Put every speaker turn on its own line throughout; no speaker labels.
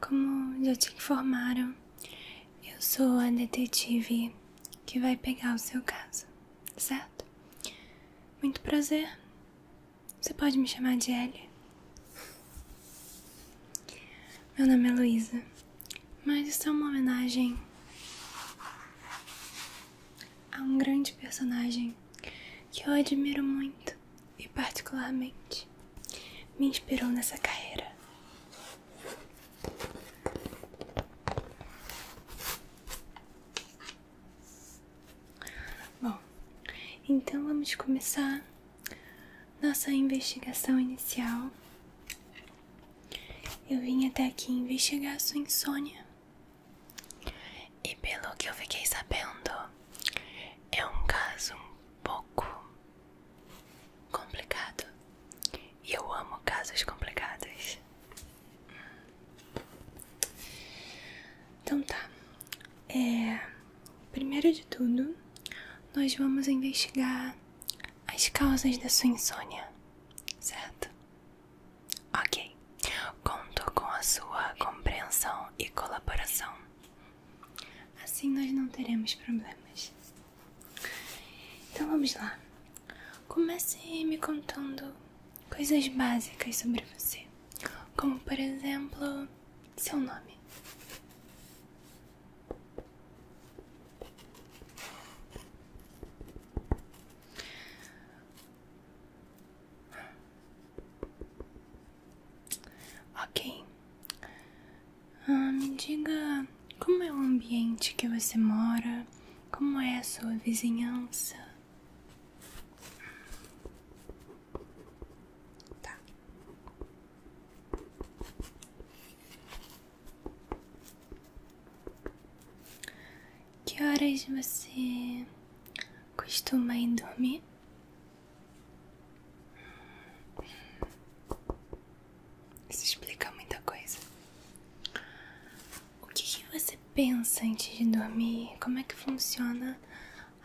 Como já te informaram, eu sou a detetive que vai pegar o seu caso, certo? Muito prazer. Você pode me chamar de Ellie. Meu nome é Luísa, mas isso é uma homenagem a um grande personagem que eu admiro muito e particularmente me inspirou nessa carreira. Bom, então vamos começar nossa investigação inicial. Eu vim até aqui investigar a sua insônia. E pelo que eu fiquei sabendo, é um caso um pouco complicado. E eu amo casos complicados. Então tá. É, primeiro de tudo, nós vamos investigar as causas da sua insônia, certo? Ok. Conto com a sua compreensão e colaboração. Assim nós não teremos problemas. Então vamos lá. Comece me contando coisas básicas sobre você, como por exemplo, seu nome. Ok, ah, me diga como é o ambiente que você mora, como é a sua vizinhança. Tá. Que horas você costuma ir dormir? Isso explica muita coisa. O que, você pensa antes de dormir? Como é que funciona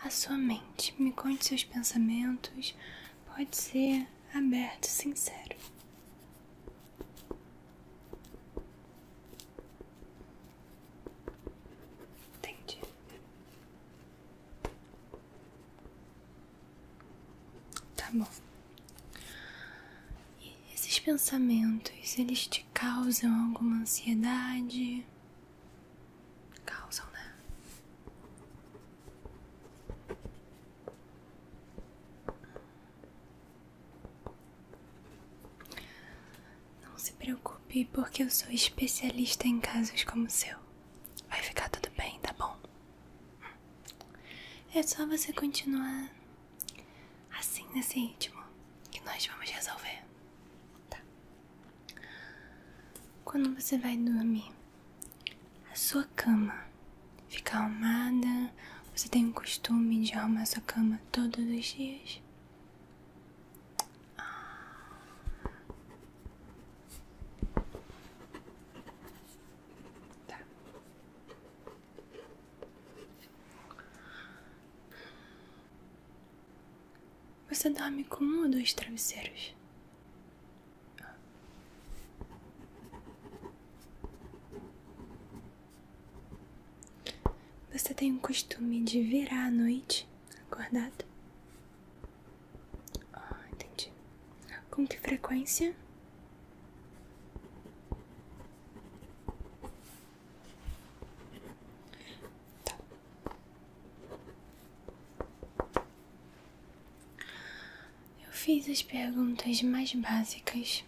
a sua mente? Me conte seus pensamentos. Pode ser aberto, sincero. Entendi. Tá bom. E esses pensamentos, eles te causam alguma ansiedade? Causam, né? Não se preocupe, porque eu sou especialista em casos como o seu. Vai ficar tudo bem, tá bom? É só você continuar assim nesse ritmo que nós vamos resolver. Tá. Quando você vai dormir, a sua cama fica arrumada. Você tem o costume de arrumar sua cama todos os dias? Ah. Tá. Você dorme com um ou dois travesseiros? Você tem o costume de virar à noite acordado? Ah, entendi. Com que frequência? Tá. Eu fiz as perguntas mais básicas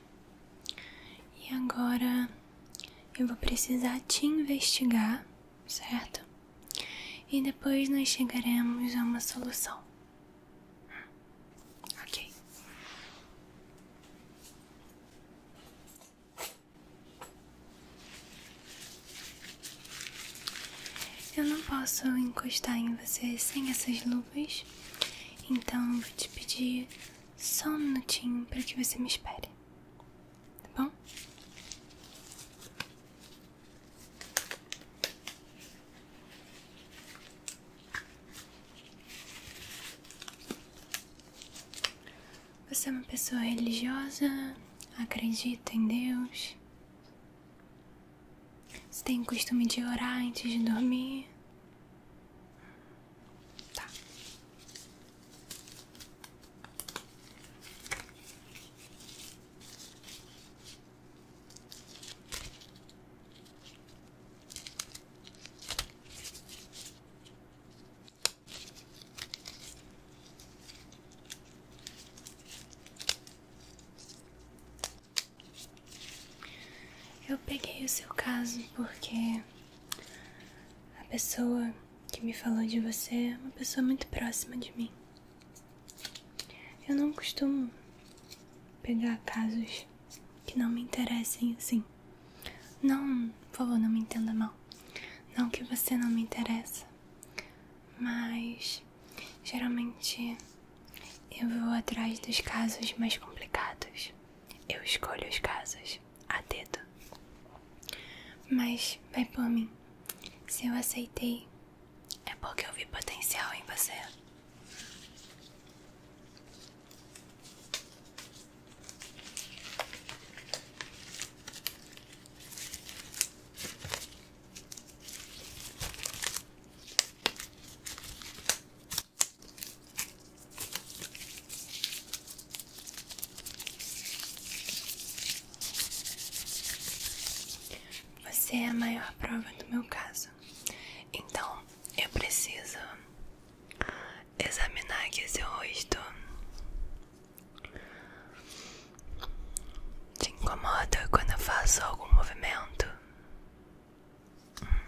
e agora eu vou precisar te investigar, certo? E depois nós chegaremos a uma solução. Ok. Eu não posso encostar em você sem essas luvas, então vou te pedir só um minutinho para que você me espere, tá bom? Você é uma pessoa religiosa? Acredita em Deus? Você tem costume de orar antes de dormir? Tá. Eu peguei o seu caso porque a pessoa que me falou de você é uma pessoa muito próxima de mim. Eu não costumo pegar casos que não me interessem assim. Não, por favor, não me entenda mal. Não que você não me interessa, mas geralmente eu vou atrás dos casos mais complicados. Eu escolho os casos a dedo. Mas vai por mim. Se eu aceitei, é porque eu vi potencial em você. Você é a maior prova do meu caso. Então, eu preciso examinar aqui seu rosto. Te incomoda quando eu faço algum movimento? Hum.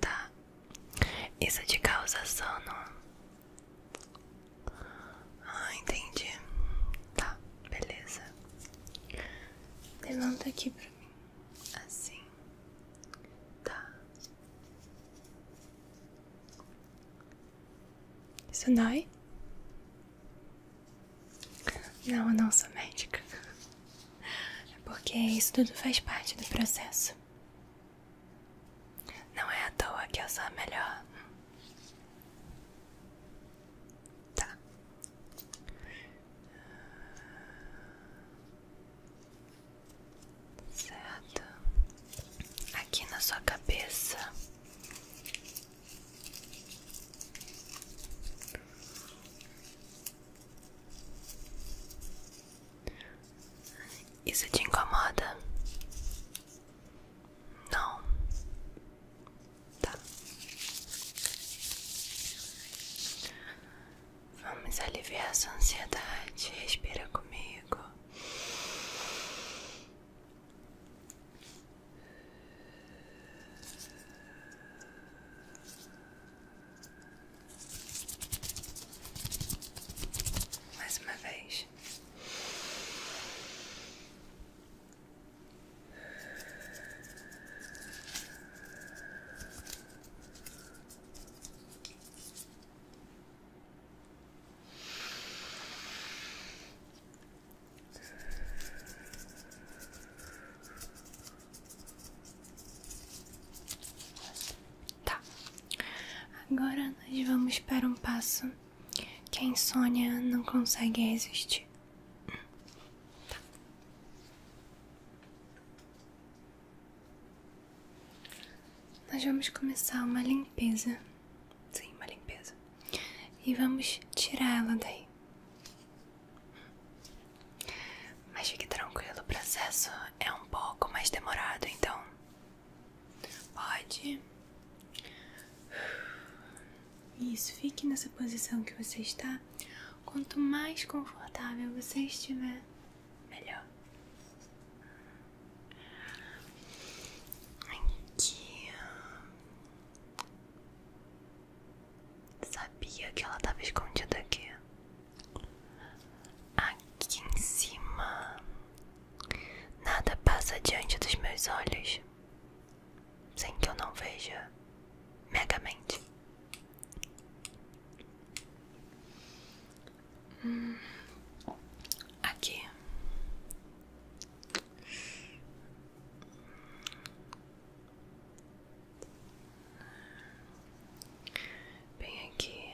Tá. Isso te é causa sono? Ah, entendi. Tá, beleza. Levanta aqui pra mim. Assim. Tá. Isso dói? Não, eu não sou médica. É porque isso tudo faz parte do processo. Não é à toa que eu sou a melhor. Tá. Certo. Aqui na sua cabeça. Isso te incomoda? Não. Tá. Vamos aliviar essa ansiedade. Respira comigo. Mais uma vez. Tá, agora nós vamos para um passo que a insônia não consegue resistir. Tá. Nós vamos começar uma limpeza. Sim, uma limpeza. E vamos tirar ela daí. Mas fique tranquilo, o processo é um pouco mais demorado, então pode isso, fique nessa posição que você está. Quanto mais confortável você estiver, melhor. Aqui. Sabia que ela estava escondida aqui. Aqui em cima. Nada passa diante dos meus olhos sem que eu não veja megamente. Hum, aqui. Bem aqui.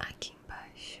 Aqui embaixo.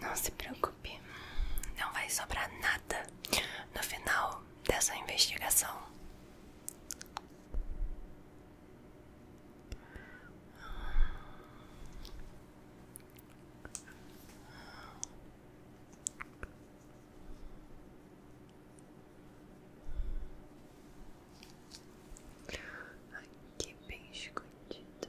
Não se preocupe, não vai sobrar nada no final dessa investigação. Aqui é bem escondido.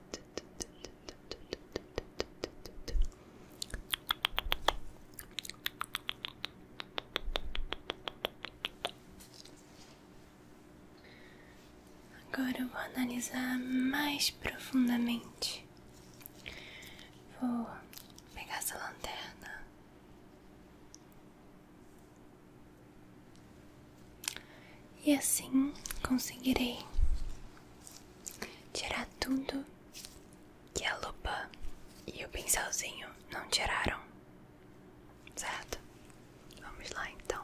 Agora eu vou analisar mais profundamente. Vou pegar essa lanterna. E assim conseguirei tirar tudo que a lupa e o pincelzinho não tiraram, certo? Vamos lá então.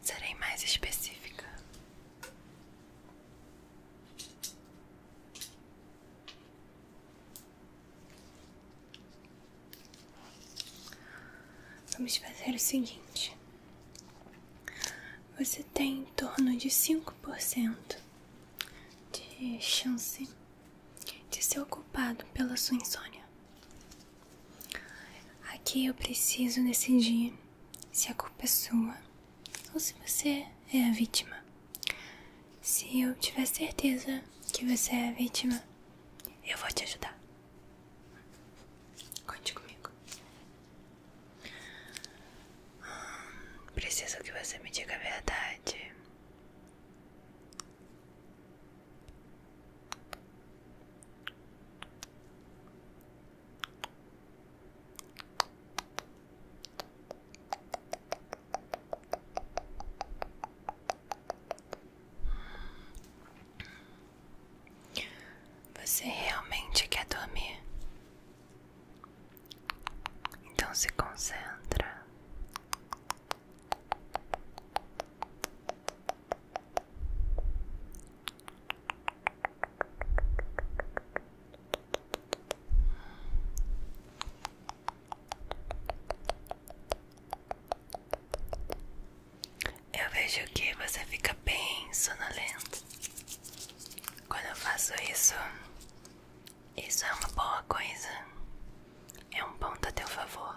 Serei mais específica. Vamos fazer o seguinte: você tem em torno de cinco por cento de chance de ser ocupado pela sua insônia. Aqui eu preciso decidir se a culpa é sua ou se você é a vítima. Se eu tiver certeza que você é a vítima, eu vou te ajudar. Conte comigo. Preciso que você me diga a verdade. Você realmente quer dormir? Então se concentra. Eu vejo que você fica bem sonolento. Quando eu faço isso, isso é uma boa coisa. É um ponto a teu favor.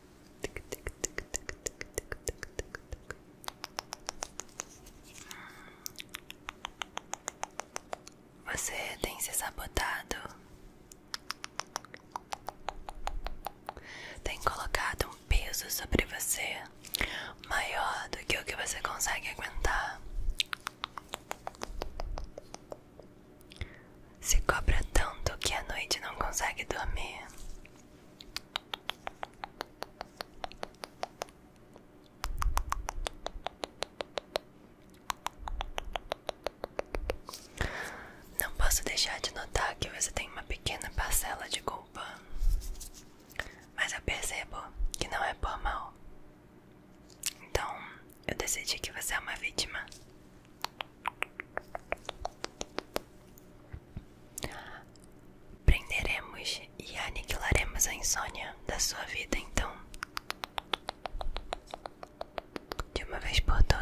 Você tem se sabotado, tem colocado um peso sobre você maior do que o que você consegue aguentar. Se cobra tanto que a noite não consegue dormir. Não posso deixar de notar que você tem uma pequena parcela de culpa, mas eu percebo que não é por mal. Então eu decidi que você é uma vítima. Prenderemos e aniquilaremos a insônia da sua vida, então, de uma vez por todas.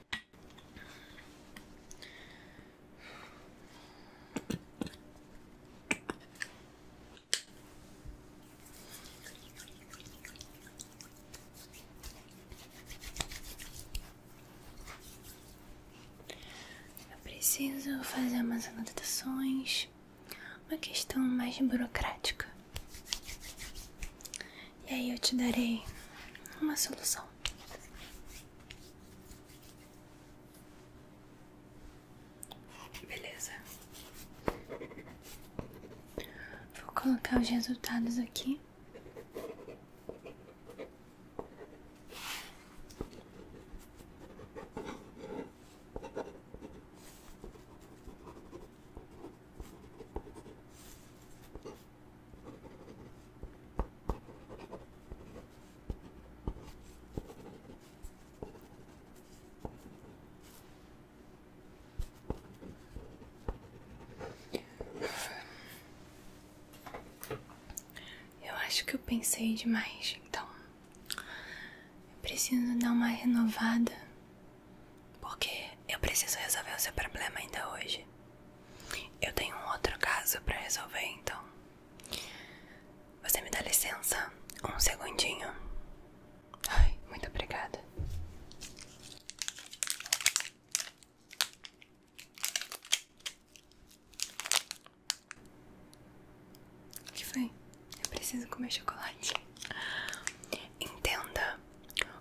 Eu preciso fazer umas anotações, uma questão mais burocrática. E aí eu te darei uma solução. Beleza. Vou colocar os resultados aqui. Eu acho que eu pensei demais, então eu preciso dar uma renovada, porque eu preciso resolver o seu problema ainda hoje. Eu tenho um outro caso para resolver, então. Você me dá licença? Um segundinho. Ai, muito obrigada. O que foi? Eu preciso comer chocolate. Entenda,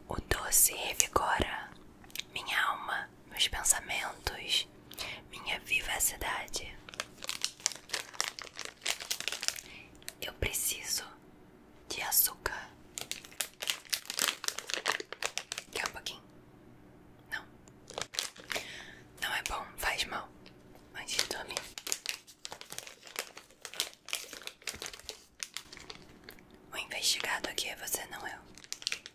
o doce revigora minha alma meus pensamentos, minha vivacidade. Eu preciso de açúcar. Quer um pouquinho? Não. Não é bom, faz mal. Antes de dormir. O investigado aqui é você, não eu.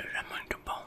Ele é muito bom.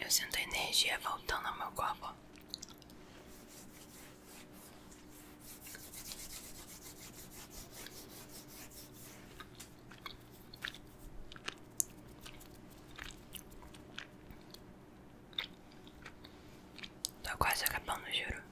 Eu sinto a energia voltando ao meu corpo. Estou quase acabando, juro.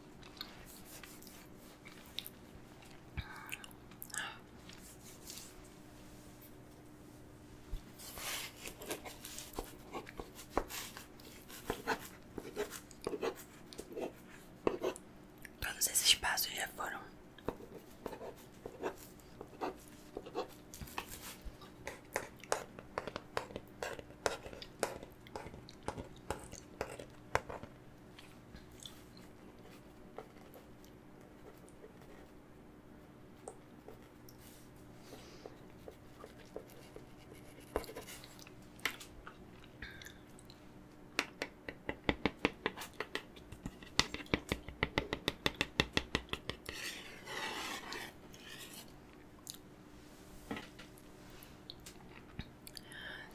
Todos esses passos já foram.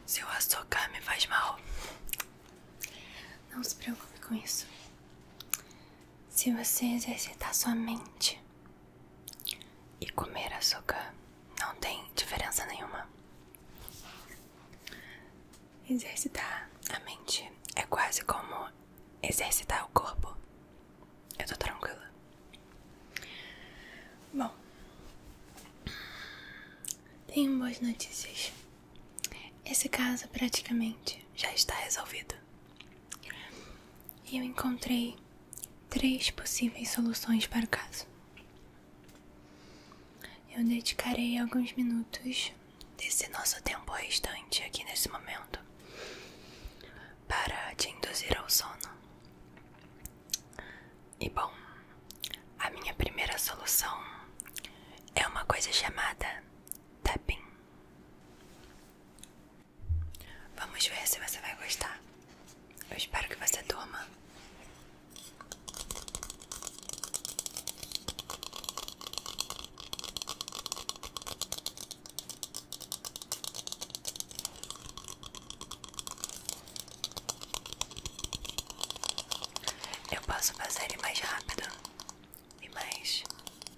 Se eu açúcar me faz mal. Não se preocupe com isso. Se você exercitar sua mente e comer açúcar, não tem diferença nenhuma. Exercitar a mente é quase como exercitar o corpo. Eu tô tranquila. Bom, tenho boas notícias. Esse caso praticamente já está resolvido. E eu encontrei três possíveis soluções para o caso. Eu dedicarei alguns minutos desse nosso tempo restante aqui nesse momento para te induzir ao sono. E bom, a minha primeira solução é uma coisa chamada tapping. Vamos ver se você vai gostar. Eu espero que você toma. Eu posso fazer ele mais rápido e mais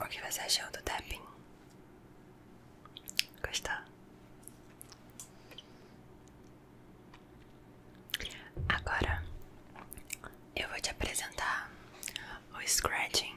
O que você achou do tapping? Gostou? Agora eu vou te apresentar o scratching.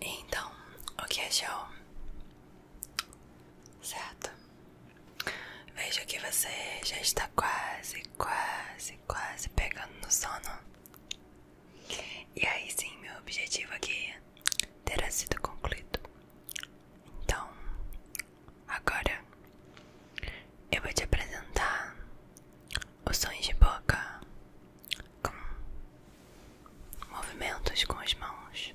Então, o que achou? É certo? Vejo que você já está quase, quase, quase pegando no sono. E aí sim, meu objetivo aqui terá sido concluído. Então, Agora eu vou te apresentar os sons de boca com movimentos com as mãos.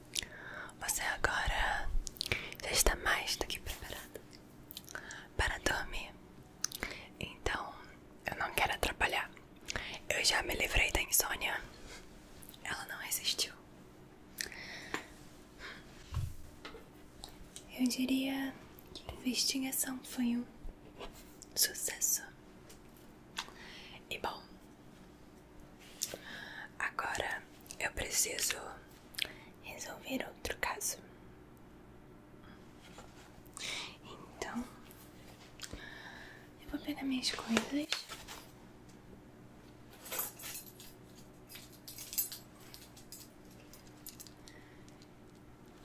Você agora já está mais do que preparada para dormir. Então, eu não quero atrapalhar. Eu já me livrei da insônia. Ela não resistiu. Eu diria que a investigação foi um sucesso. E bom, Agora eu preciso resolver outro caso. Então, eu vou pegar minhas coisas.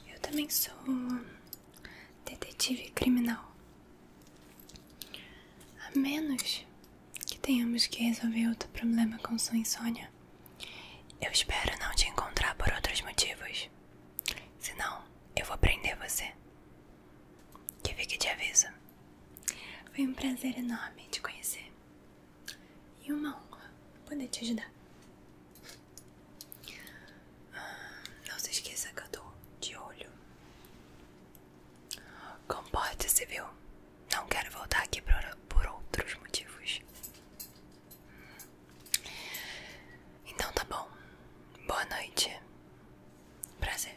Eu também sou detetive criminal. A menos que tenhamos que resolver outro problema com sua insônia. Eu espero não te encontrar por outros motivos. Senão, eu vou prender você. Que que de aviso. Foi um prazer enorme te conhecer. E uma honra poder te ajudar. Ah, não se esqueça que eu tô de olho Comporte-se, viu? Não quero voltar aqui por outros motivos. Então tá bom. Boa noite. Prazer.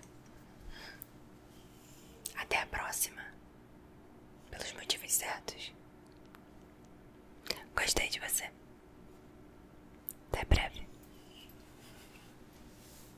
Até a próxima. Pelos motivos certos. Gostei de você. Até breve.